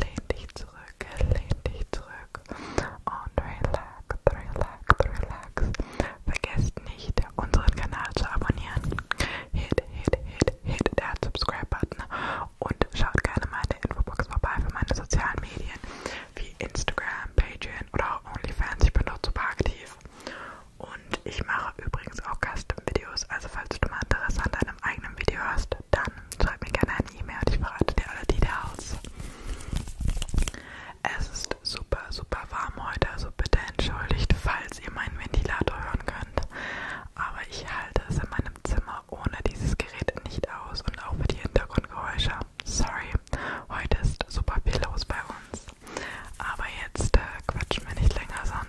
Lehn dich zurück, lehn dich zurück und relax, relax, relax. Vergesst nicht, unseren Kanal zu abonnieren. Hit, hit, hit, hit der Subscribe-Button und schaut gerne mal in der Infobox vorbei für meine sozialen Medien wie Instagram, Patreon oder auch OnlyFans. Ich bin dort super aktiv. Und ich mache übrigens auch Custom-Videos, also falls du mal Interesse an deinem eigenen Video hast, dann schreib mir gerne eine E-Mail und ich verrate dir alle Details. Es ist super, super warm heute, also bitte entschuldigt, falls ihr meinen Ventilator hören könnt. Aber ich halte es in meinem Zimmer ohne dieses Gerät nicht aus und auch für die Hintergrundgeräusche. Sorry, heute ist super viel los bei uns. Aber jetzt äh, quatschen wir nicht länger, sondern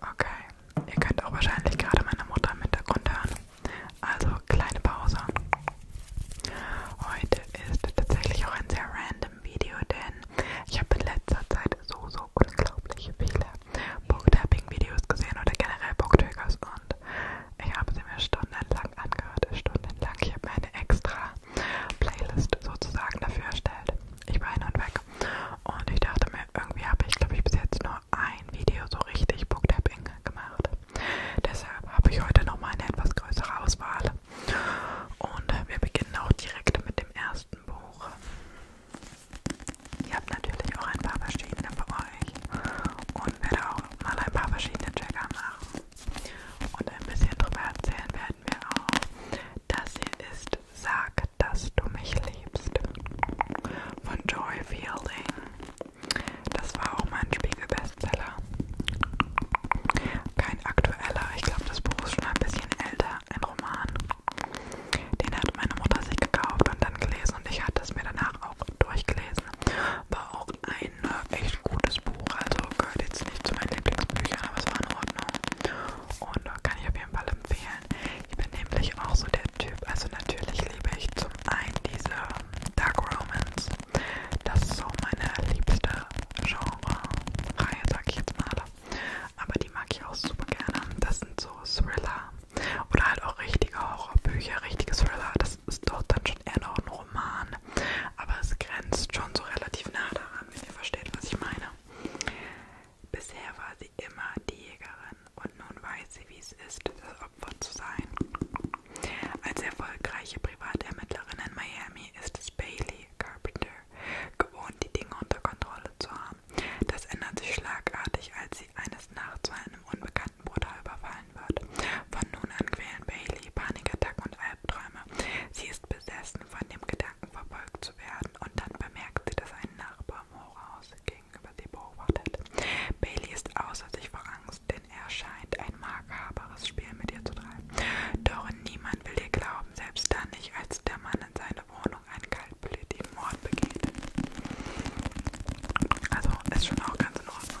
Okay, ihr könnt auch wahrscheinlich gerade meine Mutter im Hintergrund hören. Also kleine Pause. Heute ist tatsächlich auch ein sehr random Video, denn ich habe in letzter Zeit so, so unglaublich viele Booktapping-Videos gesehen oder generell Booktriggers und ich habe sie mir stundenlang angehört, stundenlang. Ich habe mir eine extra Playlist sozusagen dafür erstellt. Ich war hin und weg und ich dachte mir, irgendwie habe ich, glaube ich, bis jetzt nur ein Video so richtig Booktapping gemacht. Deshalb habe ich heute nochmal eine etwas größere Auswahl. Und äh, wir beginnen auch direkt mit dem ersten Buch. Ihr habt natürlich auch ein paar verschiedene bei euch und werde auch mal ein paar verschiedene Trigger machen und ein bisschen drüber erzählen, wer schreiben wir auf. Das hier ist Sag, dass du mich liebst. Von Joy Fielding. Das war auch mein Spiegel-Bestseller. Kein aktueller, ich glaube, das Buch ist schon ein bisschen älter, ein Roman. Den hat meine Mutter sich gekauft und dann gelesen und ich hatte es mir danach auch durchgelesen. War auch ein ein äh, echt gutes Buch, also gehört jetzt nicht zu meinen Lieblingsbüchern, aber es war in Ordnung und äh, kann ich auf jeden Fall empfehlen. Ich bin nämlich auch so der Typ, also natürlich liebe ich zum einen diese ähm, Dark Romance, das ist so meine liebste Genre-Reihe, sag ich jetzt mal, aber die mag ich auch super gerne, das sind so Thriller oder halt auch richtige Horrorbücher, richtige Thriller, das ist doch dann schon eher noch ein Roman, aber es grenzt schon so relativ nah daran, wenn ihr versteht, was ich meine. Bisher war sie immer die Jägerin und nun weiß sie, wie es ist, das Opfer zu sein. Als erfolgreiche Privatermittlerin in Miami ist es Bailey Carpenter gewohnt, die Dinge unter Kontrolle zu haben. Das ändert sich schlagartig, als sie eines Nachts von einem unbekannten Bruder überfallen wird. Von nun an quälen Bailey Panikattacken und Albträume Albträume. Sie ist besessen von dem Gedanken, verfolgt zu werden und dann bemerkt sie, dass ein Nachbar im Horrorhaus gegenüber sie beobachtet. Bailey ist außer sich vor Angst, denn er scheint ein makaberes Spiel mit ihr zu treiben. Doch niemand will ihr glauben, selbst dann nicht, als der Mann in seine Wohnung einen kaltblütigen Mord begeht. Also ist schon auch ganz in Ordnung.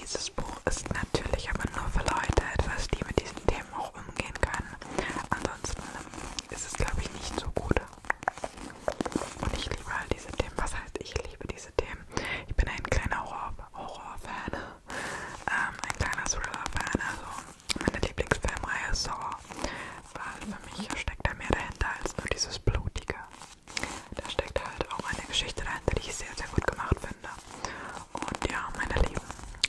Dieses Buch ist natürlich aber nur für Leute etwas, die mit diesen Themen auch umgehen können. Ansonsten ist es, glaube ich, nicht so gut. Und ich liebe halt diese Themen. Was heißt, ich liebe diese Themen? Ich bin ein kleiner Horror-Fan, Horror ähm, ein kleiner Thriller-Fan. Also meine Lieblingsfilmreihe ist Horror, weil für mich steckt da mehr dahinter als nur dieses Blutige. Da steckt halt auch eine Geschichte dahinter, die ich sehr, sehr gut gemacht finde. Und ja, meine Lieben,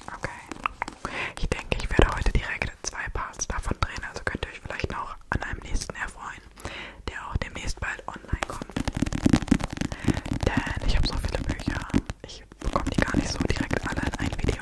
okay. Ich denke, ich werde heute direkt zwei Parts davon drehen, also könnt ihr euch vielleicht noch an einem nächsten erfreuen, der auch demnächst bald online kommt. Denn ich habe so viele Bücher, ich bekomme die gar nicht so direkt alle in ein Video.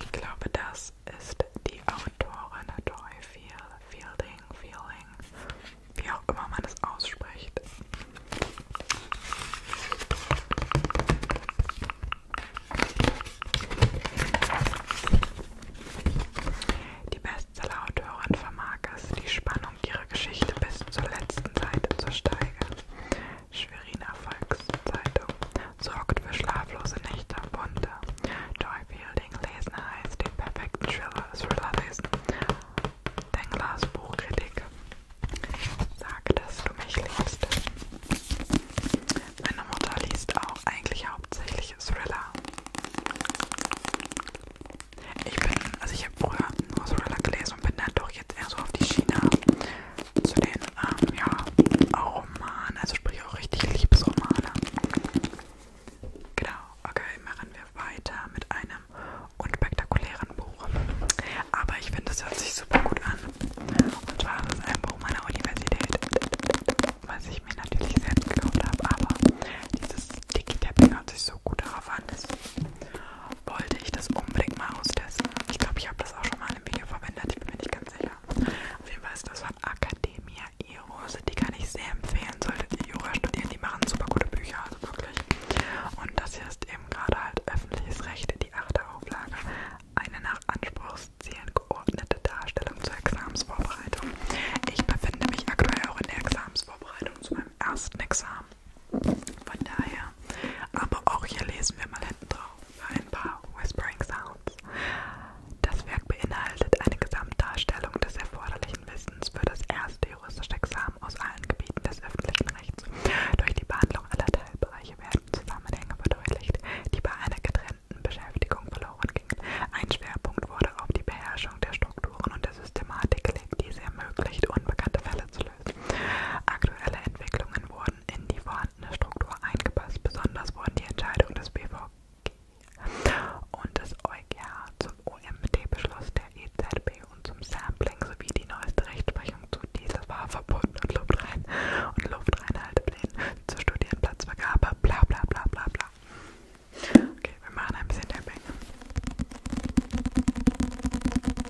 Ich glaube, das ist die Autorin Joy Fielding, Feeling, wie auch immer man es ausspricht. Die Bestseller-Autorin vermag es, die Spannung ihrer Geschichte bis zur letzten Seite zu steigern. Schweriner Volkszeitung sorgt für schlaflose Nächte und Bunte. Joy Fielding lesen heißt den perfekten Thriller, Thriller lesen. Denglars Buchkritik. Sag, dass du mich liebst. Meine Mutter liest auch eigentlich hauptsächlich Thriller. Ich bin, also ich habe früher nur Thriller gelesen und bin dann doch jetzt eher so auf die China zu den ähm, ja, Romanen, also sprich auch richtig Liebesromane. Genau, okay, machen wir weiter mit einem unspektakulären Buch. Aber ich finde, das hört sich super gut an. Und zwar ist es ein Buch meiner Universität, was ich mir natürlich selbst gekauft habe, aber dieses Sticky Tapping hört sich so gut darauf an. Dass wollte ich das unbedingt mal austesten. Ich glaube, ich habe das auch schon mal im Video verwendet, ich bin mir nicht ganz sicher. Auf jeden Fall ist das von Academia Eros, die kann ich sehr empfehlen, solltet ihr Jura studieren, die machen super gute Bücher, also wirklich. Und das hier ist eben gerade halt öffentliches Recht, die achte Auflage, eine nach Anspruchszielen geordnete Darstellung zur Examensvorbereitung. Ich befinde mich aktuell auch in der Examensvorbereitung zu meinem ersten Examen. Von daher, aber auch hier lesen wir mal hinten drauf für ein paar Whispering Sounds. Das Werk beinhaltet eine Gesamtdarstellung des erforderlichen Wissens für das erste juristische Examen aus allen Gebieten des öffentlichen Rechts. Durch die Behandlung aller Teilbereiche werden Zusammenhänge verdeutlicht, die bei einer getrennten Beschäftigung verloren gingen. Ein Schwerpunkt wurde auf die Beherrschung der Strukturen und der Systematik gelegt, die es ermöglicht, unbekannte Fälle zu lösen. Aktuelle Entwicklungen wurden wurden in die vorhandene Struktur eingepasst. Besonders wurden die Entscheidungen des BVG und des EuGH zum OMT-Beschluss der EZB und zum Sampling sowie die neueste Rechtsprechung zu Dieselfahrverboten und Luftrein und Luftreinhalteplänen zur Studienplatzvergabe, bla bla bla bla bla. Okay, wir machen ein bisschen der Bänge.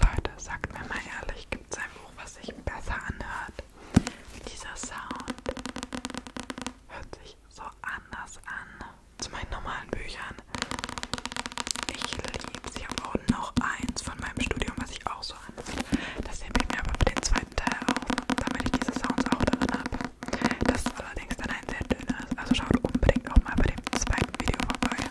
Leute, sagt mir mal ehrlich, gibt es ein Buch, was sich besser anhört? dieser Sound hört sich so anders an zu meinen normalen Büchern. Ich liebe sie. Ich habe auch noch eins von meinem Studium, was ich auch so anziehe. Das nehme ich mir aber für den zweiten Teil auf, damit ich diese Sounds auch drin habe. Das ist allerdings dann ein sehr dünnes, also schaut unbedingt auch mal bei dem zweiten Video vorbei.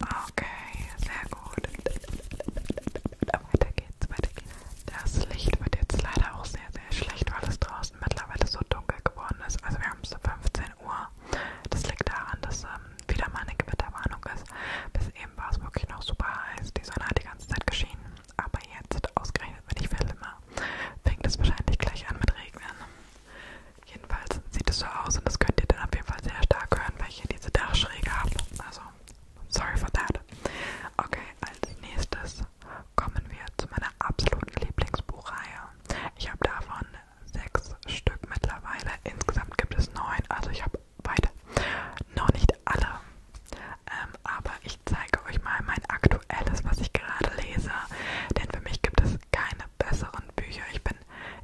Okay, sehr gut. Weiter geht's, weiter geht's. Das Licht wird jetzt leider auch sehr, sehr schlecht, weil es draußen mittlerweile so dunkel geworden ist. Also wir haben es so 15 Uhr. Das liegt daran, dass ähm, wieder mal eine Gewitterwarnung ist. Bis eben war es wirklich noch super heiß. Die Sonne hat die ganze Zeit geschienen. Aber jetzt, ausgerechnet, wenn ich filme, fängt es wahrscheinlich gleich an mit Regnen. Jedenfalls sieht es so aus und das könnt ihr dann auf jeden Fall sehr stark hören, weil ich hier diese Dachschräge habe. Also, sorry for that. Okay, als nächstes kommen wir zu meiner absoluten Lieblingsbuchreihe. Ich habe davon sechs Stück mittlerweile. Insgesamt gibt es neun, also ich habe beide. Noch nicht alle. Ähm, aber ich zeige euch mal mein aktuelles, was ich gerade lese. Denn für mich gibt es gibt keine besseren Bücher. Ich bin,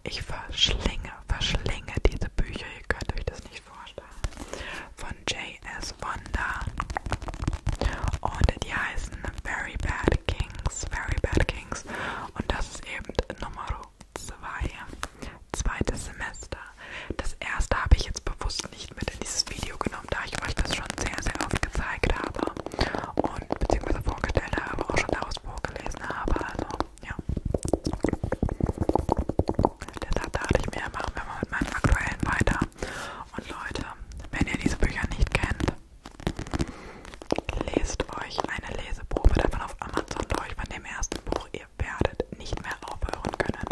ich verschlinge, verschlinge diese Bücher. Ihr könnt euch das nicht vorstellen. Von J.S. Wanda. Und die heißen Very Bad Kings. Very Bad Kings. Und das ist eben Nummer 2. Zweites Semester. Das erste habe ich jetzt bewusst nicht mit in dieses Video genommen, da ich euch das schon sehr, sehr oft gezeigt habe. Und und beziehungsweise vorgestellt habe, auch schon daraus vorgelesen habe. Also, ja. Deshalb dachte ich mir, machen wir mal mit meinen aktuellen weiter. Und Leute, wenn ihr diese Bücher nicht kennt, lest euch eine Leseprobe davon auf Amazon durch von dem ersten Buch. Ihr werdet nicht mehr aufhören können.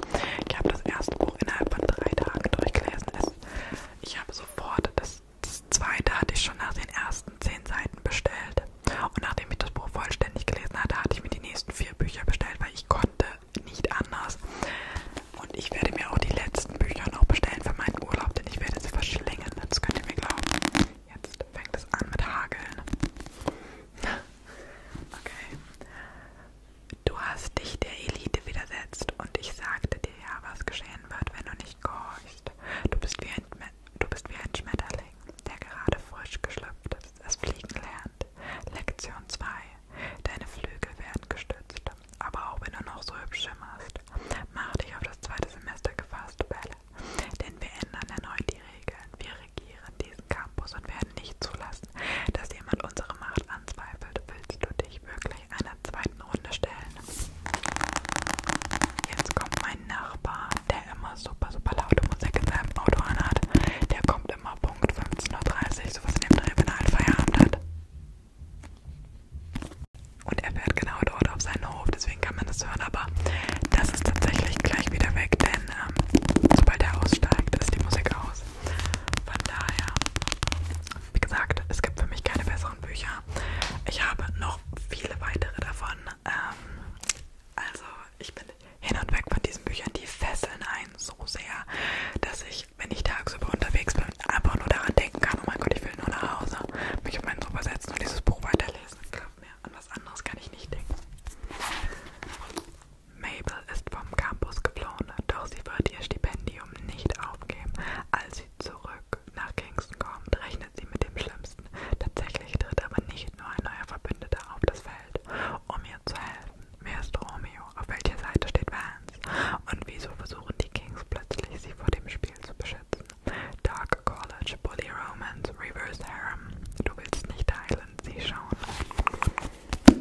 Ich habe das erste Buch innerhalb von drei Tagen durchgelesen. Es, ich habe sofort das das zweite hatte ich schon nach den ersten zehn Seiten bestellt. Und nachdem ich das Buch vollständig gelesen hatte, hatte ich mir die nächsten vier Bücher bestellt, weil ich konnte nicht anders. Und ich werde mir auch die letzten Bücher noch bestellen für meinen Urlaub, denn ich werde sie verschlingen. Das könnt ihr mir glauben. Jetzt fängt es an mit Hageln. Okay. Du hast dich der Elite widersetzt und ich sagte dir ja, was geschehen wird, wenn du nicht gehorchst bist. Du bist wie ein, du bist wie ein Schmetterling, der gerade frisch geschlüpft ist, es fliegen lernt. Lektion 2. Deine Flügel werden gestützt, aber auch wenn du noch so hübsch schimmerst. Mach dich auf das zweite Semester gefasst, Belle, denn wir ändern erneut die Regeln. Wir regieren diesen Campus und werden nicht zulassen, dass jemand unsere Macht anzweifelt. Willst du dich wirklich gleich einer zweiten Runde stellen. Jetzt kommt mein Nachbar, der immer super, super laute Musik in seinem Auto anhat. Der kommt immer Punkt 15.30 Uhr, sowas in dem Dreh, wenn er halt Feierabend hat. Und er fährt genau dort auf seinen Hof, deswegen kann man das hören, aber das ist tatsächlich gleich wieder weg, denn ähm, sobald er aussteigt, ist die Musik aus. Von daher wie gesagt, es gibt für mich keine besseren Bücher. Ich habe noch viele weitere davon. Ähm, also ich bin hin und weg von diesen Büchern, die fesseln einen so sehr, dass ich, wenn ich tagsüber unterwegs bin, einfach nur daran denken kann, oh mein Gott, ich will nur nach Hause, mich auf meinen Sofa setzen und dieses Buch weiterlesen. Glaubt mir, an was anderes kann ich nicht denken. Mabel ist vom Campus geflohen, doch sie wird ihr Stipendium nicht aufgeben, als sie zurück Tag nach Kingston kommt, rechnet sie mit dem Schlimmsten. Tatsächlich tritt aber nicht nur ein neuer Verbündeter auf das Feld, um ihr zu helfen. Wer ist Romeo? Auf welcher Seite steht Vance? Und wieso versuchen die Kings plötzlich, sie vor dem Spiel zu beschützen? Dark College, Bully Romance, Reverse Harem. Du willst nicht Highland sie schauen. Okay.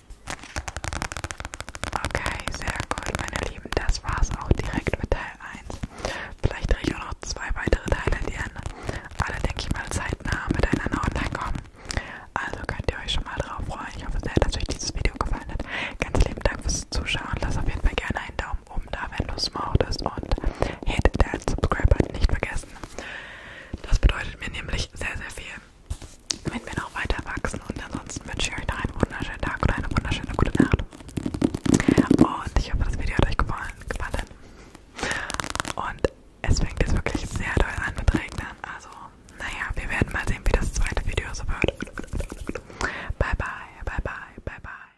Okay, sehr gut, meine Lieben. Das war's auch direkt mit Teil 1. Vielleicht drehe ich auch noch zwei weitere Teile, die an alle, denke ich mal, zeitnah miteinander online kommen. Also könnt ihr euch schon mal drauf freuen. Ich hoffe sehr, dass euch dieses Video gefallen hat. Ganz lieben Dank fürs Zuschauen. Lasst auf jeden Fall gerne einen Daumen oben da, wenn du es mochtest. Und hit that Subscribe-Button nicht vergessen. Das bedeutet mir nämlich sehr, sehr viel wenn wir noch weiter wachsen. Und ansonsten wünsche ich euch noch einen wunderschönen Tag oder eine wunderschöne gute Nacht. Und ich hoffe, das Video hat euch gefallen. gefallen. Und es fängt jetzt wirklich sehr doll an mit Regnen. Also, naja, wir werden mal sehen, wie das zweite Video so wird. Bye, bye, bye, bye, bye, bye.